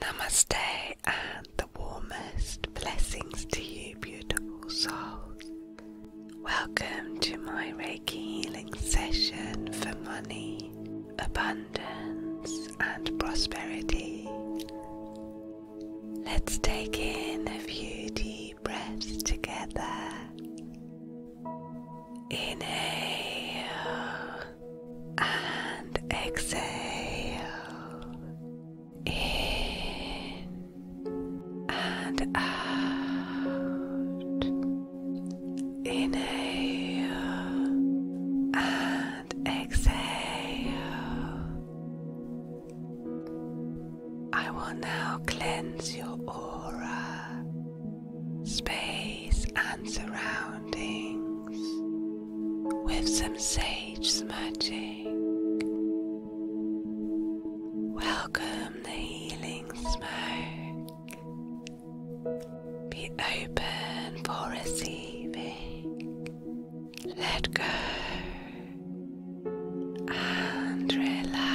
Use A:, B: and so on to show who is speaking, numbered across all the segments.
A: Namaste and the warmest blessings to you, beautiful souls. Welcome to my Reiki healing session for money, abundance, and prosperity. Let's take in a few deep breaths together. Inhale and exhale. In and out. Inhale and exhale. I will now cleanse your aura, space, and surroundings with some sage smudging. Welcome the healing smoke. Be open for receiving. Let go. And relax.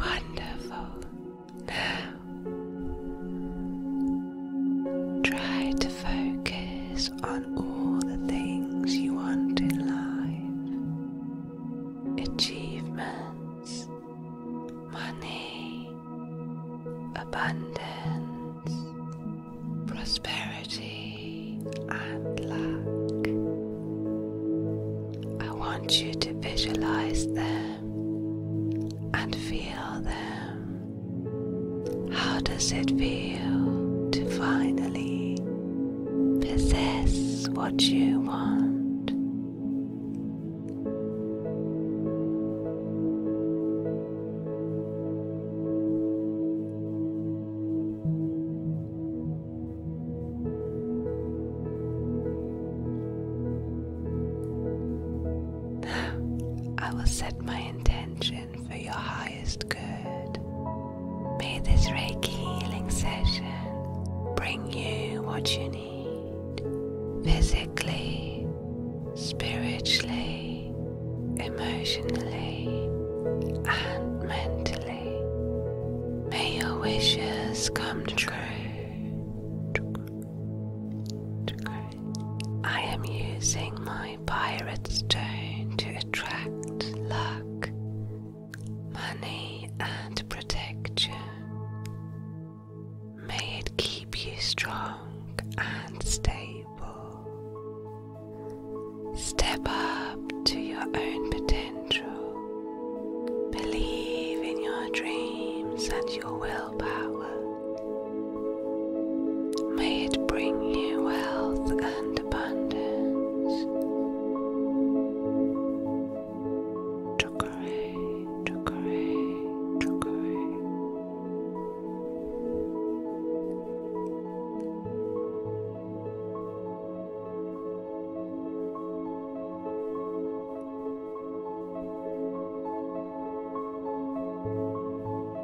A: Wonderful. Now, try to focus on all the things you want in life achievements, money, abundance, prosperity, and luck. I want you to visualize them and feel them. How does it feel to finally possess what you want. I will set my intention for your highest good. May this Reiki healing session bring you what you need physically, spiritually, emotionally, and mentally. May your wishes come true. I am using my my pirate stone to attract luck, money, and protect you. May it keep you strong and stable. Step up to your own potential. Believe in your dreams and your willpower. May it bring you wealth and abundance. Chokore, chokore, chokore.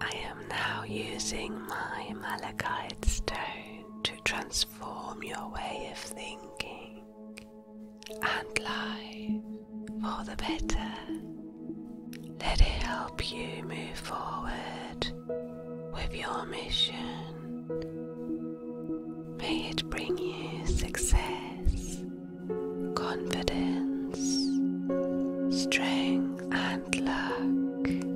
A: I am now using my malachite stone to transform transform your way of thinking and life for the better. Let it help you move forward with your mission. May it bring you success, confidence, strength, and luck.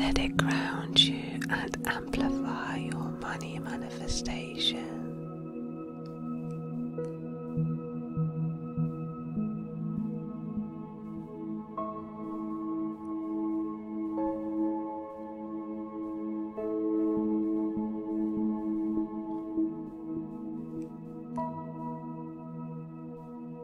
A: Let it grow and amplify your money manifestation.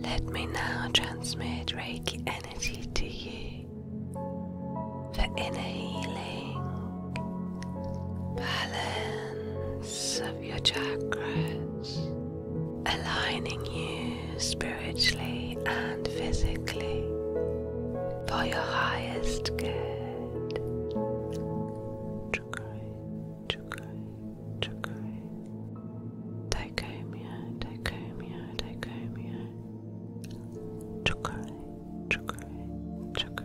A: Let me now transmit Reiki energy to you for inner healing, balance of your chakras, aligning you spiritually and physically for your highest good. Chukri, chukri, chukri. Dichomia, dichomia, dichomia. Chukri, chukri, chukri.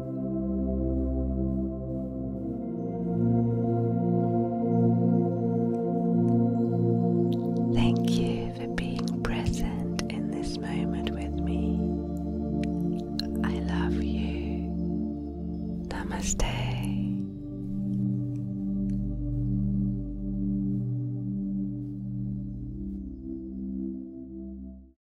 A: Thank you for being present in this moment with me. I love you. Namaste.